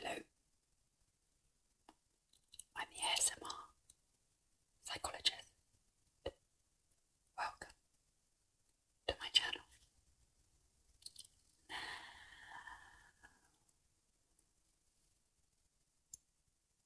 Hello, I'm the ASMR psychologist. Welcome to my channel.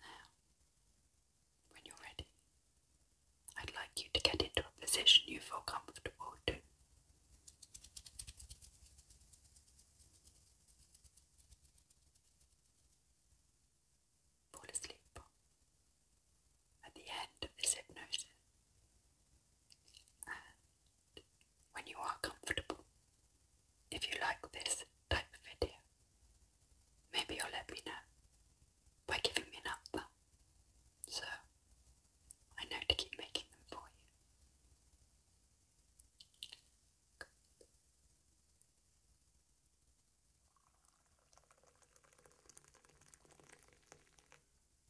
Now, when you're ready, I'd like you to get into a position you feel comfortable to. Fall asleep at the end of this hypnosis. And when you are comfortable, if you like this type of video, maybe you'll let me know by giving me an up so I know to keep making them for you.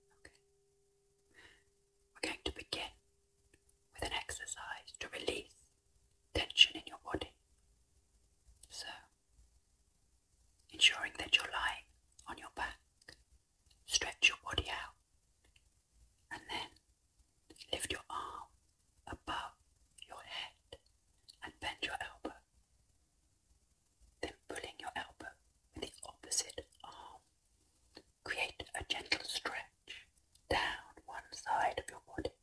Okay. We're going to begin with an exercise to release tension in your body. So, ensuring that you're lying on your back, stretch your body out, and then lift your arm above your head and bend your elbow then pulling your elbow with the opposite arm. Create a gentle stretch down one side of your body.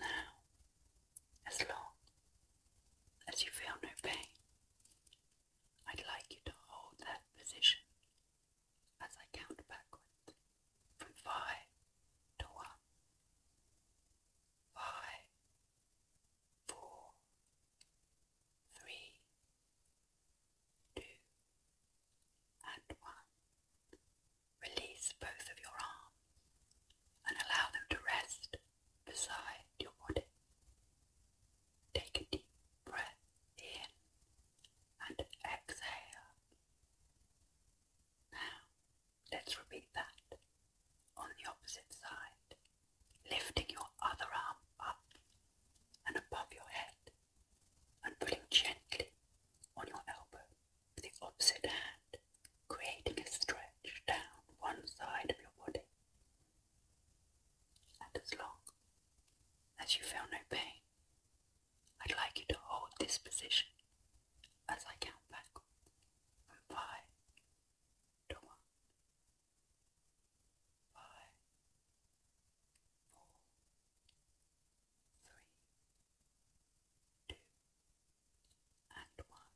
Now, as long as you feel no pain, I'd like you to hold that position as I count backwards from five to one. Five, four, three, two, and one. Release both of your arms and allow them to rest beside your body. Take a deep breath in and exhale. Now, let's repeat that on the opposite side, lifting your other arm up and above your head and pulling gently on your elbow with the opposite hand, creating a stretch down one side of your body. And as long as you feel no pain, I'd like you to hold this position as I count back from five to one five, four, three, two, and one.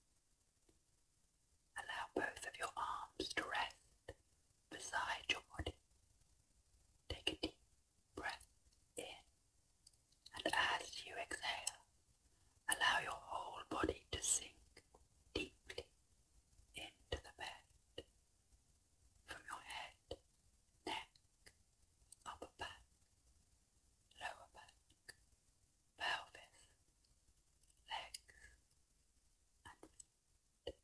Allow both of your arms to rest beside your body. Take a deep breath in, and as you exhale, Allow your whole body to sink deeply into the bed from your head, neck, upper back, lower back, pelvis, legs, and feet.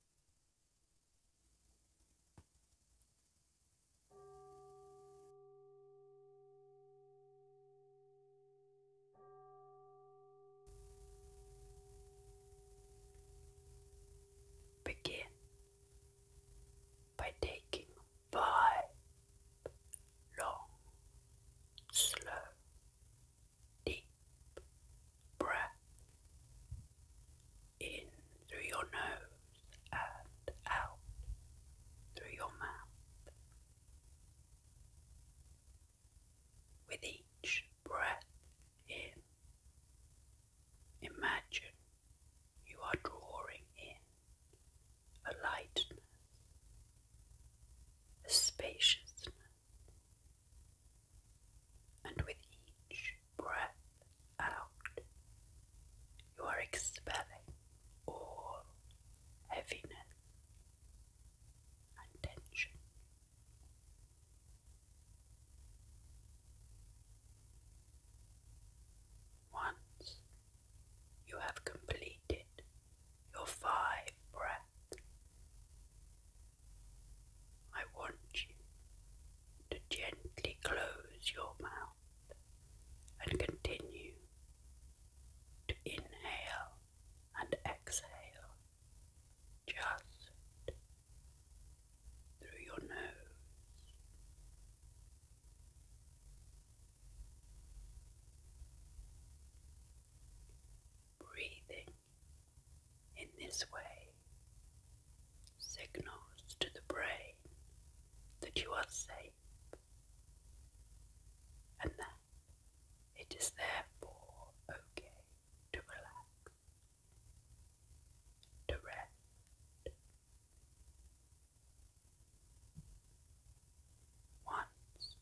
Begin by taking five long, slow, deep breath in through your nose and out through your mouth. With each breath in, imagine you are drawing in a lightness, a spaciousness, and with each breath out, you are expelling all heaviness and Once you have completed your five breaths, I want you to gently close your mouth and continue to inhale and exhale just through your nose. Breathing in this way signals to the brain that you are safe and that it is therefore okay to relax, to rest. Once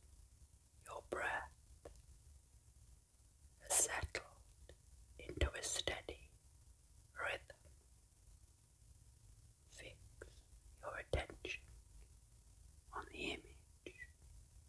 your breath has settled into a steady rhythm, fix your attention on the image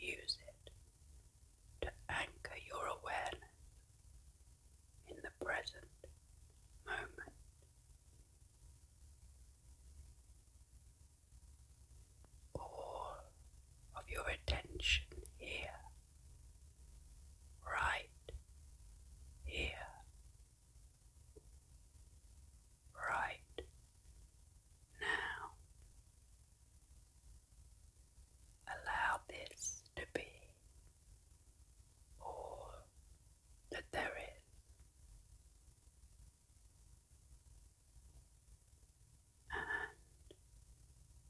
Use it to anchor your awareness in the present moment. All of your attention here right here, right now. Allow this to be all that there is. And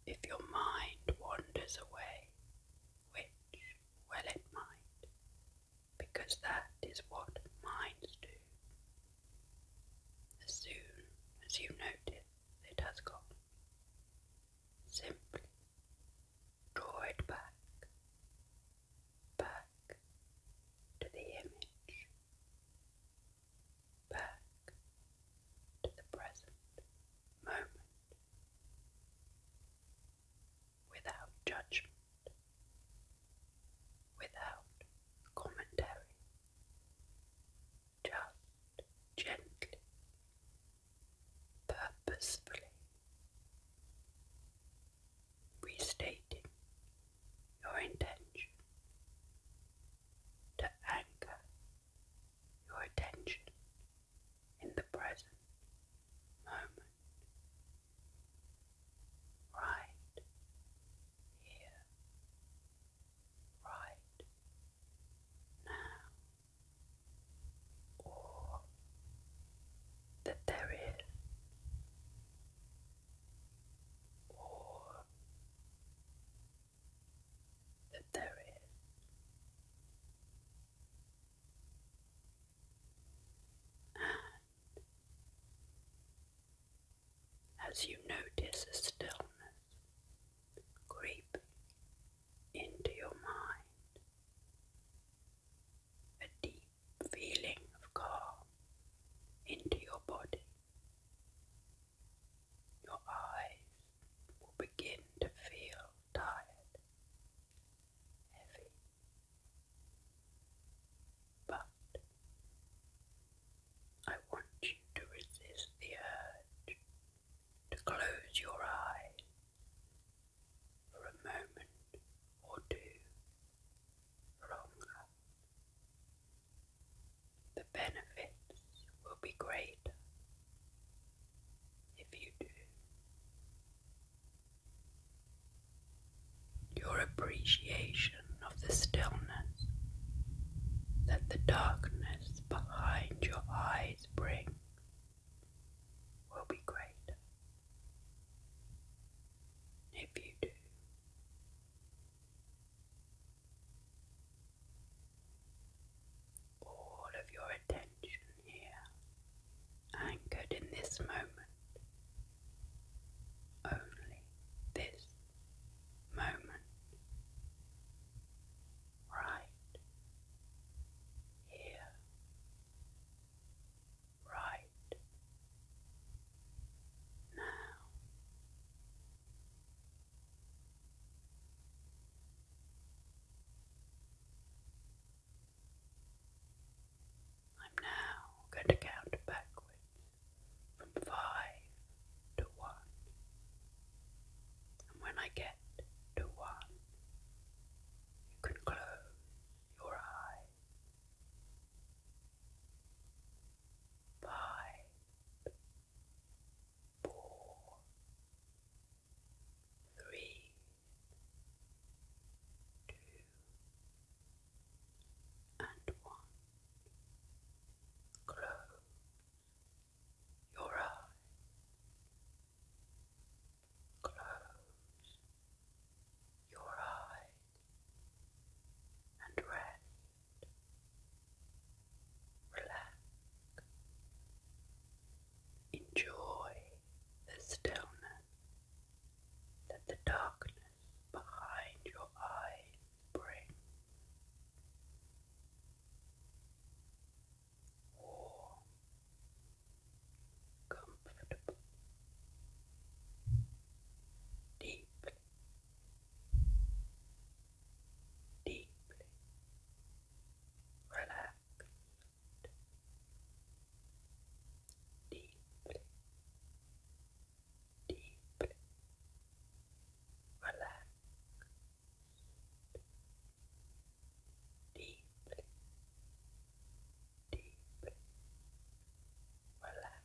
if your mind wanders away, which, well, it might, because that is what minds do. As soon as you notice it has gone, simply draw it back, back to the image, back to the present moment without judgment, without commentary, just gently, purposefully restating your intention to anchor your attention in the present moment, right here, right now, or that there is, or that there is. And as you notice a stillness creeping into your mind, a deep feeling of calm into your body, your eyes will begin to feel tired, heavy, but I want you to resist the urge to close your eyes for a moment or two longer the benefits will be great if you do. Your appreciation of the stillness that the darkness behind your eyes brings will be greater if you do all of your attention here, anchored in this moment, only this moment, right here, right now. I'm now going to count backwards from five to one. And when I get to one, you can close your eyes. Five, four, three, two, and one. Close your eyes. Close your eyes and rest relax, enjoy the stillness that the darkness behind your eyes brings. Warm, comfortable, deeply, deeply relaxed deeply, deeply relaxed deeply, deeply relaxed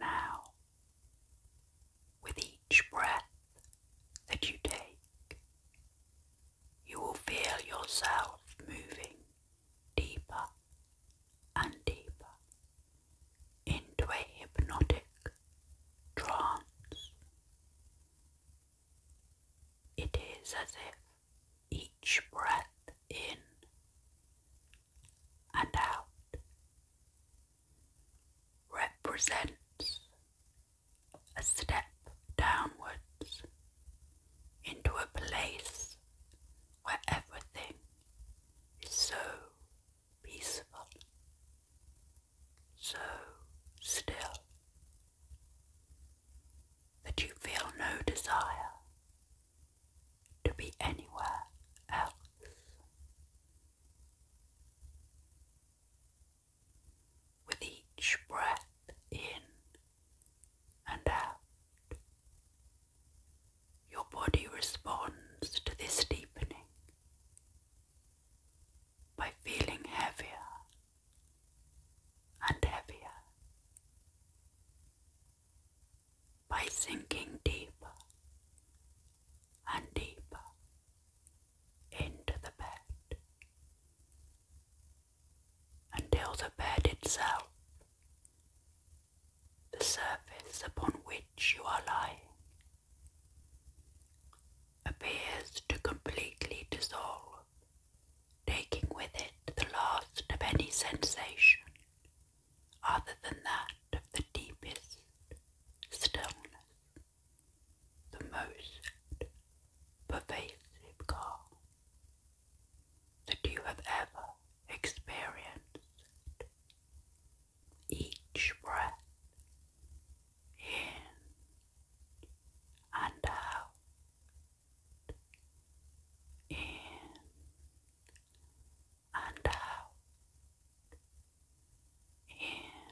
Now, with each breath that you take, you will feel yourself moving deeper and deeper into a hypnotic trance. It is as if each breath in and out represents a step downwards into a place where everything is so peaceful, so still that you feel no desire to be anywhere else. With each breath in and out, your body responds to this deepening by feeling heavier and heavier, by sinking deeper and deeper into the bed until the bed itself, the surface upon which you are lying, appears to completely dissolve, taking with it the last of any sensation other than that of the deepest stillness, the most pervasive calm that you have ever experienced each breath in and out, in and out, in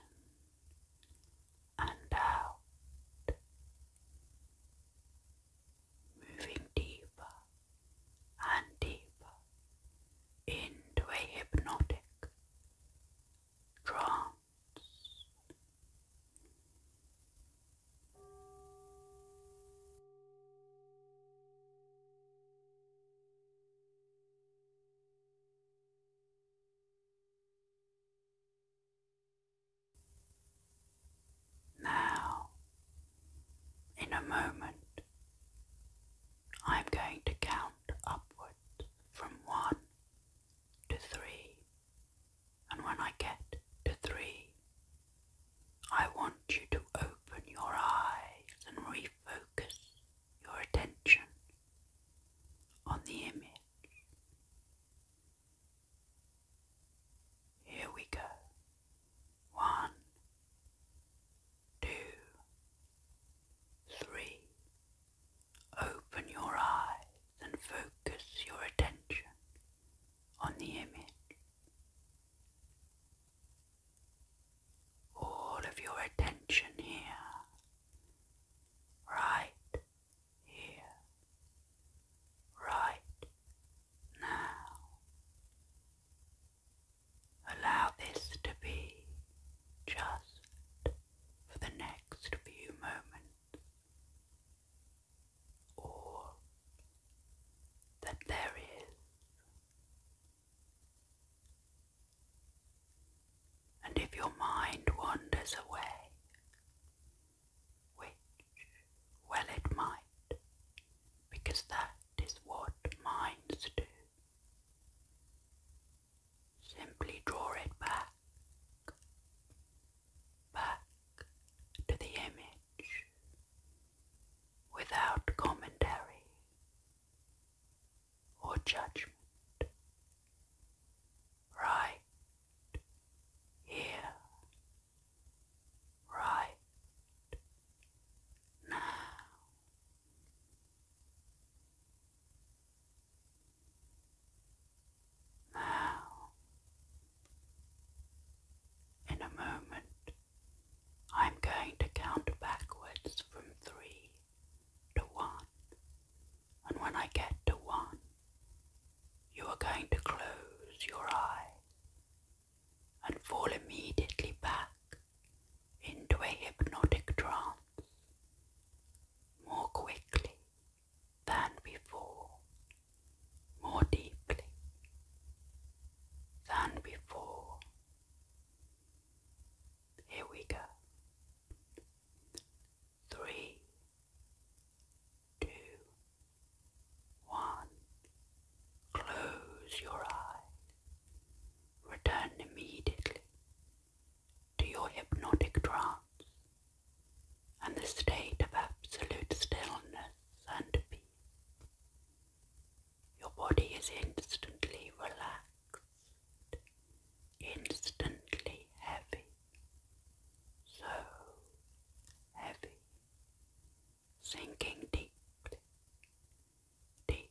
and out, moving deeper and deeper into a hypnotic France. Now, in a moment, I'm going to count upward from one to three. And when I get to three, I want you to open your eyes and refocus your attention on the image. Here we go. One, two, three. Open your eyes and focus your attention on the image. All of your attention here, right here, right now. Allow this to be just for the next few moments. All that there is. And if your mind wanders away, which, well, it might, because that is what minds do. Simply draw it back, back to the image without commentary or judgment, right here, right now. Now, in a moment, I'm going to count backwards from three to one, and when I get to one, you are going to close your eyes and fall immediately back into a hypnotic trance more quickly than before, more deeply than before. Here we go. Three, two, one. Close your eyes. Return immediately to your hypnotic trance and the state of absolute stillness and peace. Your body is instantly relaxed, instantly heavy, so heavy, sinking deeply, deeply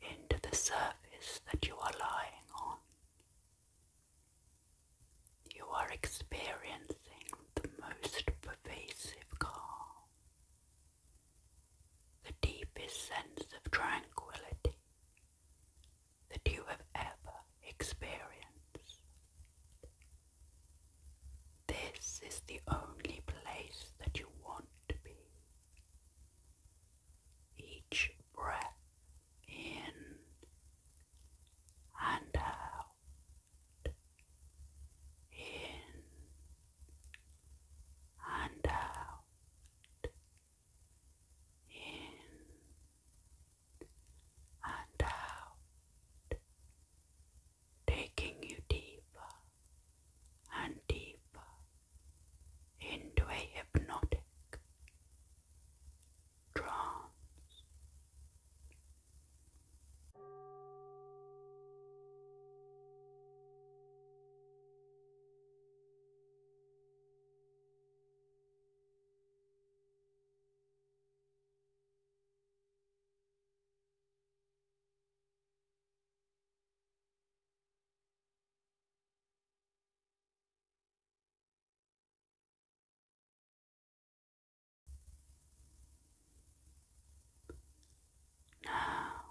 into the surface that you are lying on. You are experiencing the most pervasive calm, the deepest sense of tranquility that you have ever experienced. This is the only place that you want to be. Each breath in and out, in and out, in and out, taking you deeper and deeper into a hypnotic trance. Now,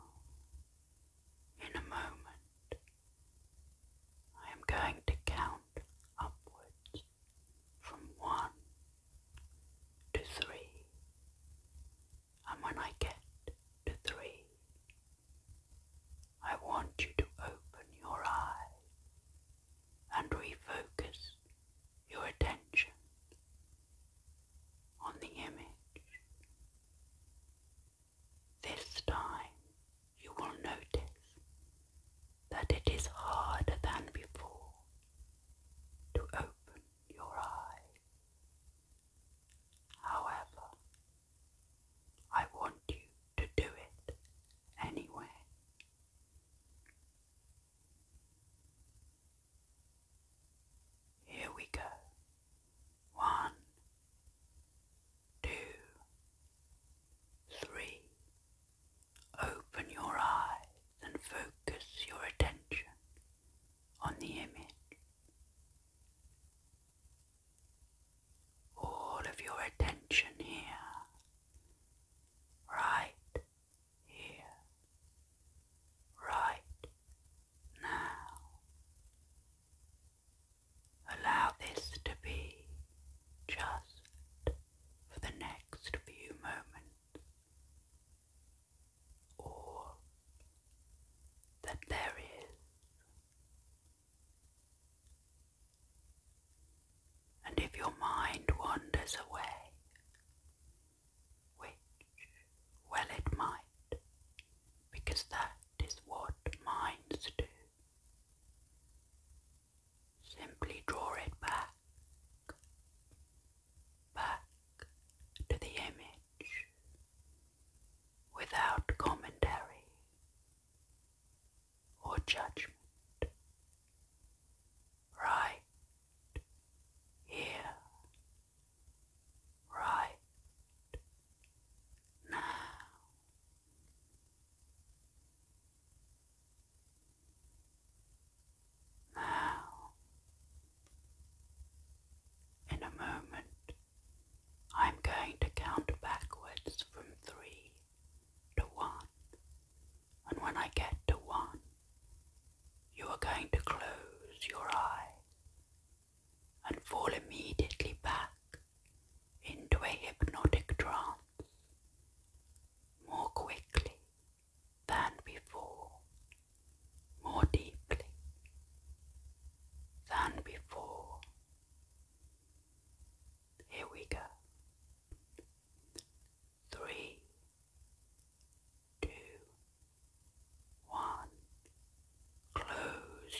in a moment, I am going to count upwards from one to three. And when I get to three, I want you to open your eyes and refocus your attention on the image. This time you will notice that it is harder than before to open your eyes However, I want you to do it anyway. Here we go. One, two, three. Open your eyes and focus your attention on the image all of your attention here, right here, right now. Allow this to be just for the next few moments or that there is. And if your mind wanders away, which, well, it might, because that is what minds do, simply draw it back, back to the image without commentary or judgment, right here, right now. Now in a moment, I am going to count backwards from three to one, and when I get to one, you are going to close your eyes and fall immediately back into a hypnotic trance more quickly than before more deeply than before. Here we go. Three, two, one. Close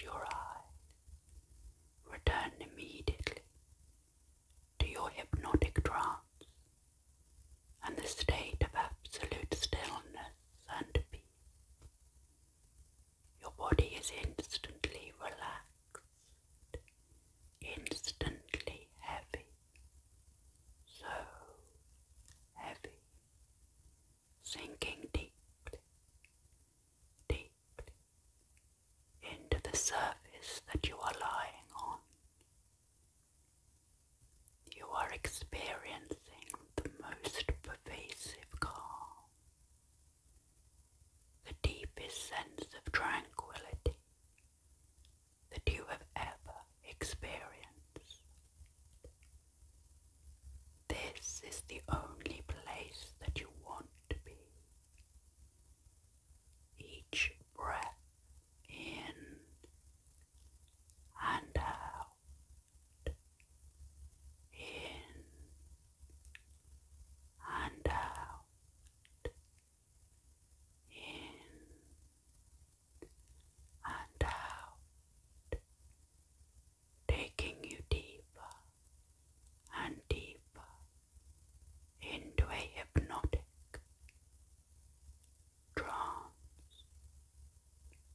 your eyes. Return immediately to your hypnotic trance and the state of absolute stillness and peace. Your body is instantly relaxed, instantly heavy, so heavy, sinking deeply, deeply into the surface that you are lying on. You are experiencing the most pervasive calm, the deepest sense of tranquility that you have ever experienced. This is the only place that you want to be. Each breath in and out in and out, in and out, taking you deeper and deeper into a hypnotic trance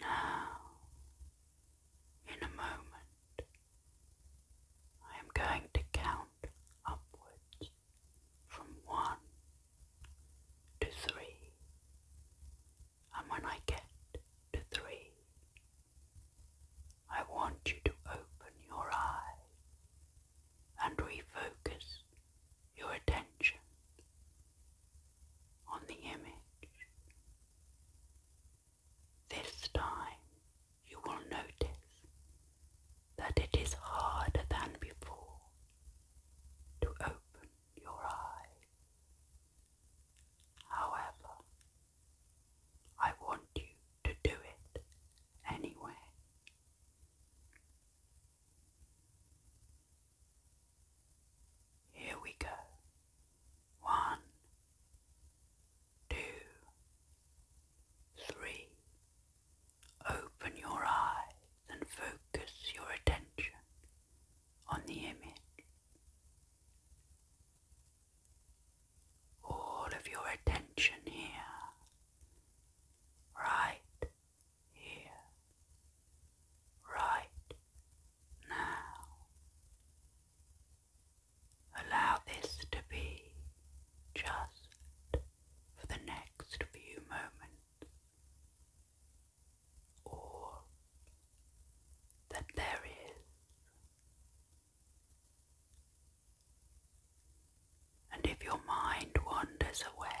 Now, in a moment, I am going to count upwards from one to three, and when I get to three, I want you to open your eyes and refocus your attention on the image. This time you will notice that it is harder than before to open your eyes. However, I want you to do it anyway. Here we go. One, two, three. Open your eyes and focus your attention on the image. All of your attention here, right here, right now. Allow this to be just for the next few moments. All that there is. And if your mind wanders away,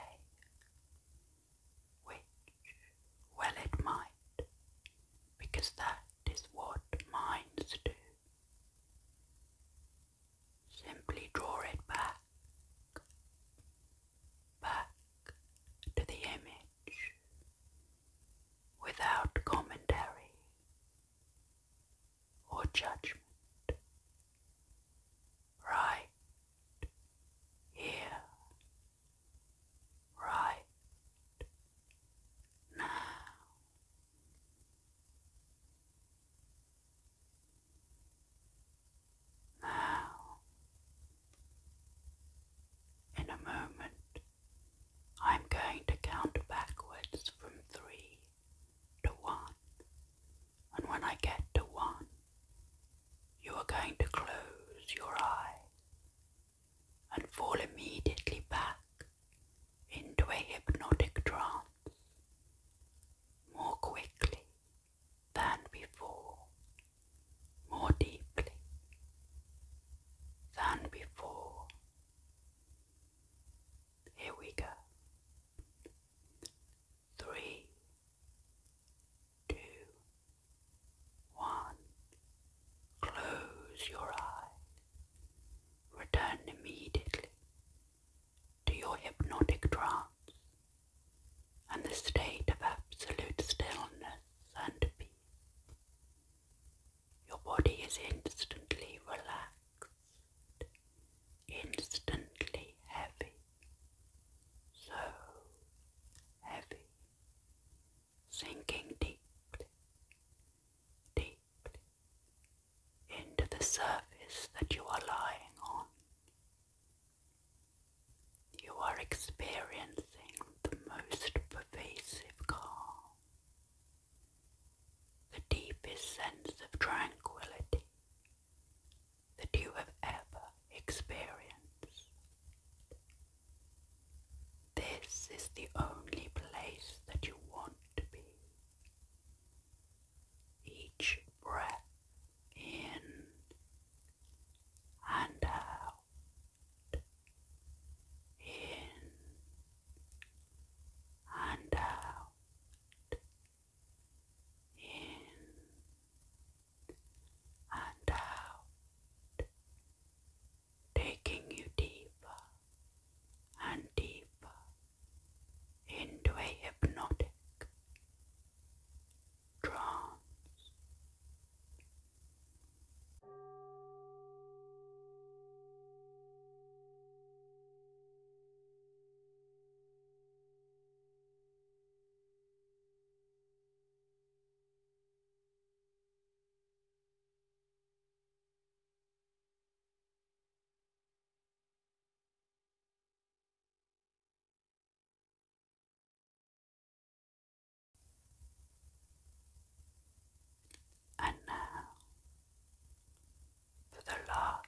which, well, it might, because that is what minds do. Simply draw it back, back to the image, without commentary or judgment right here, right now. Now, in a moment, I'm going to count backwards from three to one and when I get to one, you are going to close your eyes and fall immediately back into a hypnotic trance more quickly than before, more deeply than before. Here we go. Three, two, one. Close your eyes. Return immediately to your hypnotic trance and the state of absolute stillness and peace. Your body is instantly relaxed, instantly heavy, so heavy, sinking deeply, deeply into the surface that you are lying on. You are experiencing the most pervasive calm, the deepest sense of tranquility that you have ever experienced. This is the only place that you want to be. Each breath in and out, in and out, in and out, taking you deeper and deeper into a hypnotic trance. And now for the last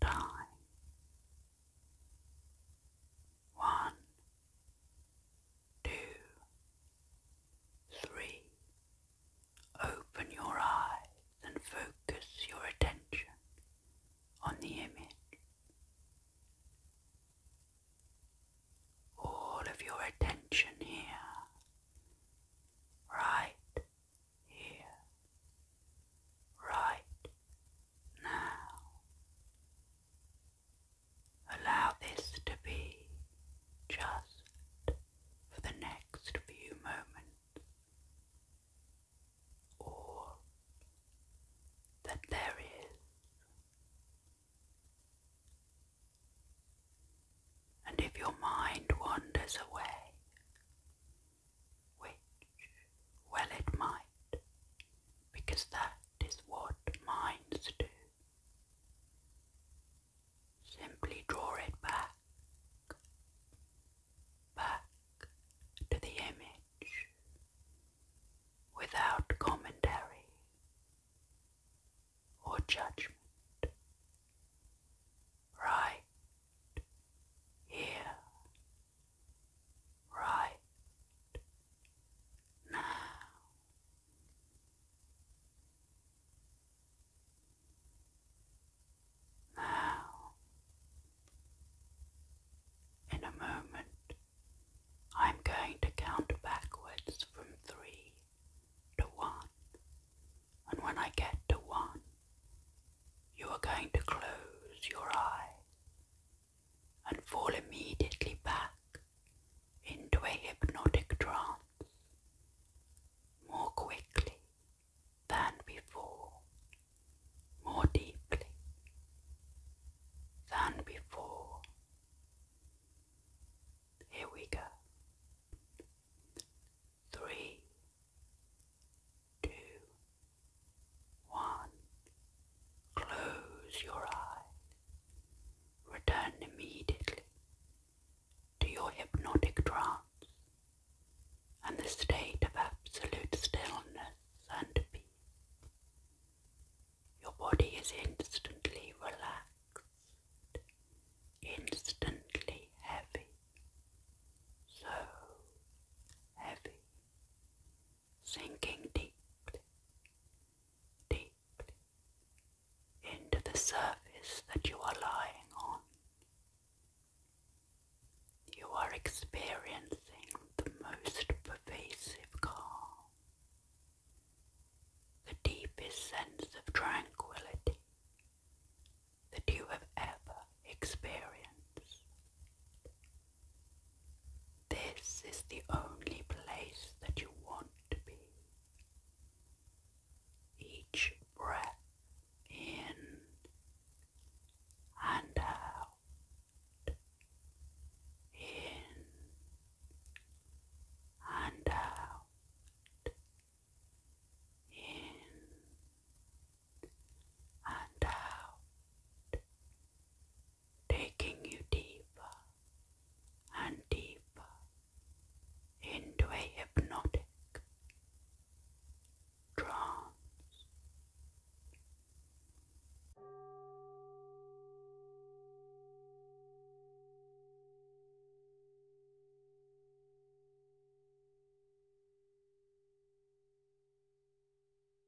time. One, two, three. Open your eyes and focus your attention on the image. All of your attention here, right here, right now, allow this to be just for the next few moments, all that there is. And if your mind wanders away, which, well, it might, because that is what minds do. Simply draw it back, back to the image, without commentary or judgment. Right here right now. Now, in a moment, I'm going to count backwards from three to one, and when I get to one, you are going to close your eye and fall immediately back into a hypnotic trance more quickly than before, more deeply than before. Here we go. Three, two, one. Close your eyes. Return immediately to your hypnotic trance and the state of absolute stillness and peace. Your body is instantly relaxed, instantly heavy, so heavy sinking deep, deeply into the surface that you are lying on. You are experiencing the most pervasive calm, the deepest sense of tranquility that you have ever experienced. This is the only place that you want to be. Each breath in and out, in and out, in and out, taking you deeper and deeper into a hypnotic trance.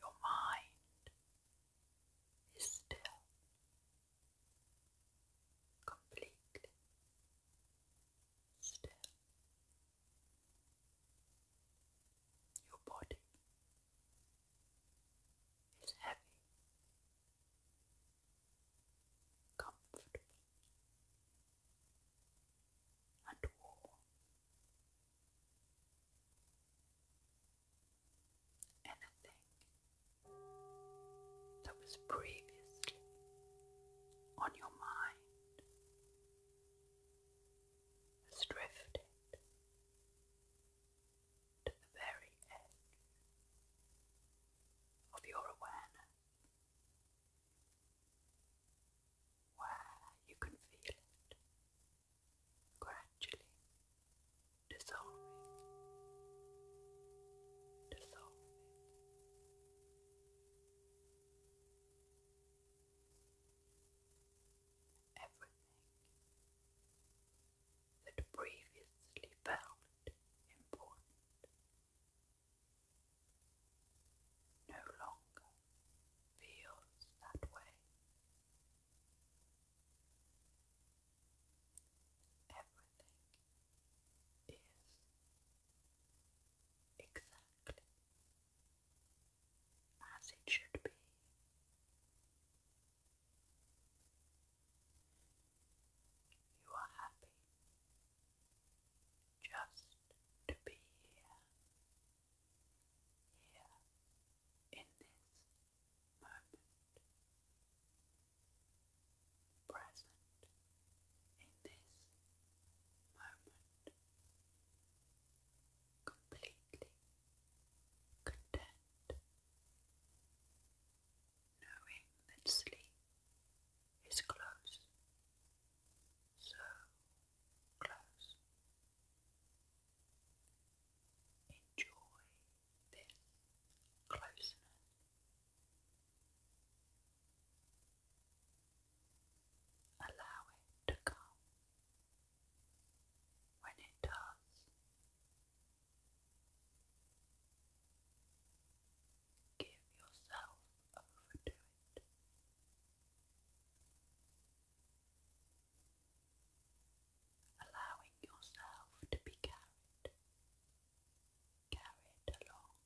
Your mind is still completely still. Your body is heavy, comfortable, and warm anything that was previously on your mind has to the very edge of your awareness where you can feel it gradually dissolving, dissolving. Everything that previously felt important no longer feels that way. Everything is exactly as it should be. You are happy just to be here, here in this moment, present in this moment, completely content, knowing that sleep is close, so close. Enjoy this closeness. Allow it to come. When it does, give yourself over to it allowing yourself to be carried, carried along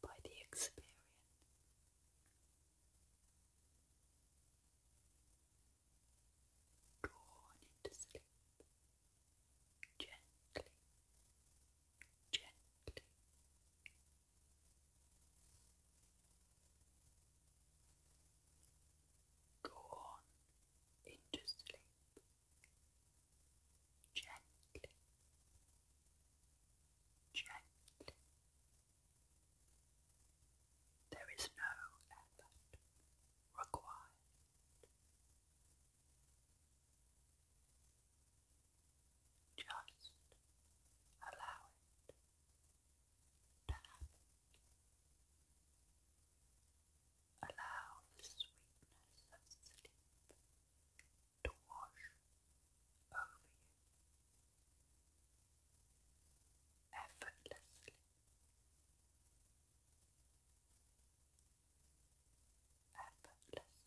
by the experience. Drawn into sleep gently, gently. Go into sleep gently, gently. There is no effort required. Just allow it tap. Allow the sweetness of sleep to wash over you effortlessly. Effortlessly.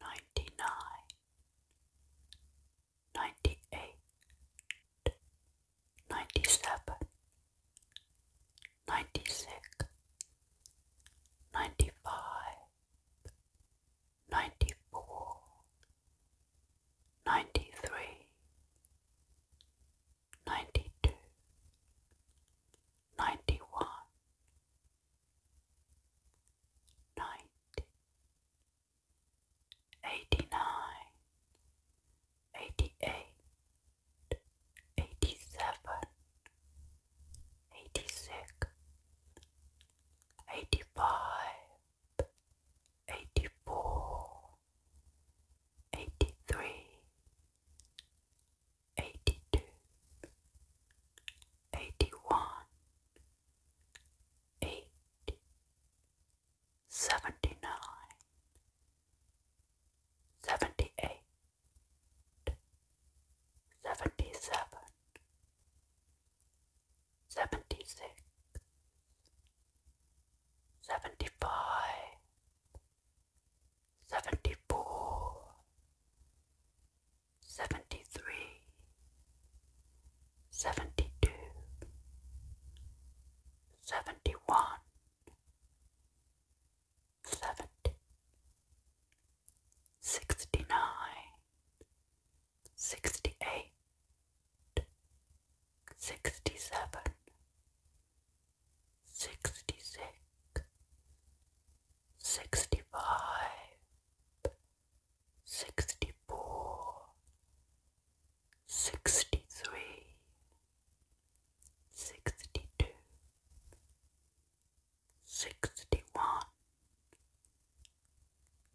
Ninety nine, ninety eight, ninety seven, ninety six, ninety five, ninety four, ninety three, ninety two, ninety one, ninety, eighty nine, eighty eight, eighty seven, eighty six, eighty five, eighty four eighty three, eighty two, eighty one, eight, seventy nine, seventy eight, seventy seven, seventy six seventy five, seventy four, seventy three, seventy two, seventy one, seventy, sixty nine, sixty eight sixty seven, sixty six, sixty five, sixty four, sixty three, sixty two, sixty one,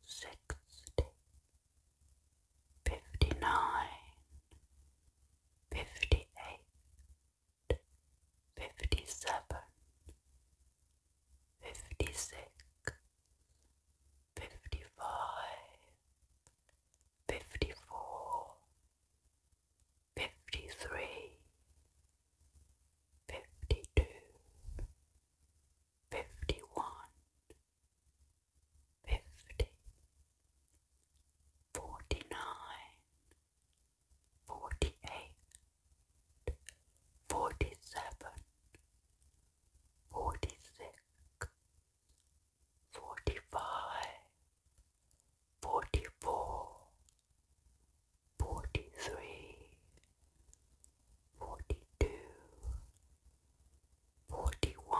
sixty fifty nine, fifty eight, fifty seven, fifty six, fifty five, fifty four, fifty three, fifty two, fifty one fifty, forty nine, forty eight, forty seven, forty six, forty five, forty four, forty three, forty two, forty one.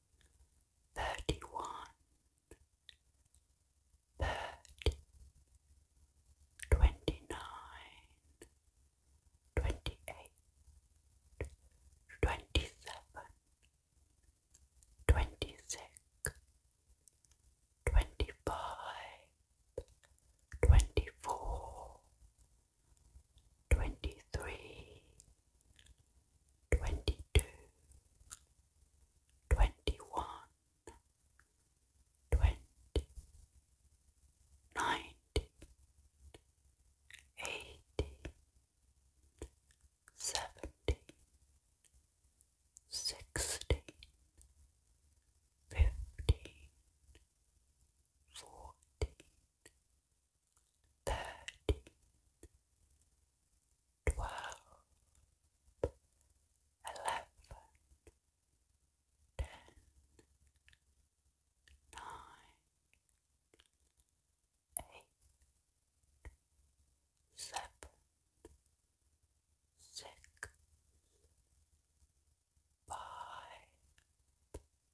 thirty one, thirty, twenty nine, twenty eight, twenty seven, twenty six, twenty five, twenty four, twenty three twenty two, twenty one, twenty, nineteen, eighteen, seventeen, sixteen, fifteen, fourteen thirteen, twelve, eleven, ten, nine, eight, seven, six, five,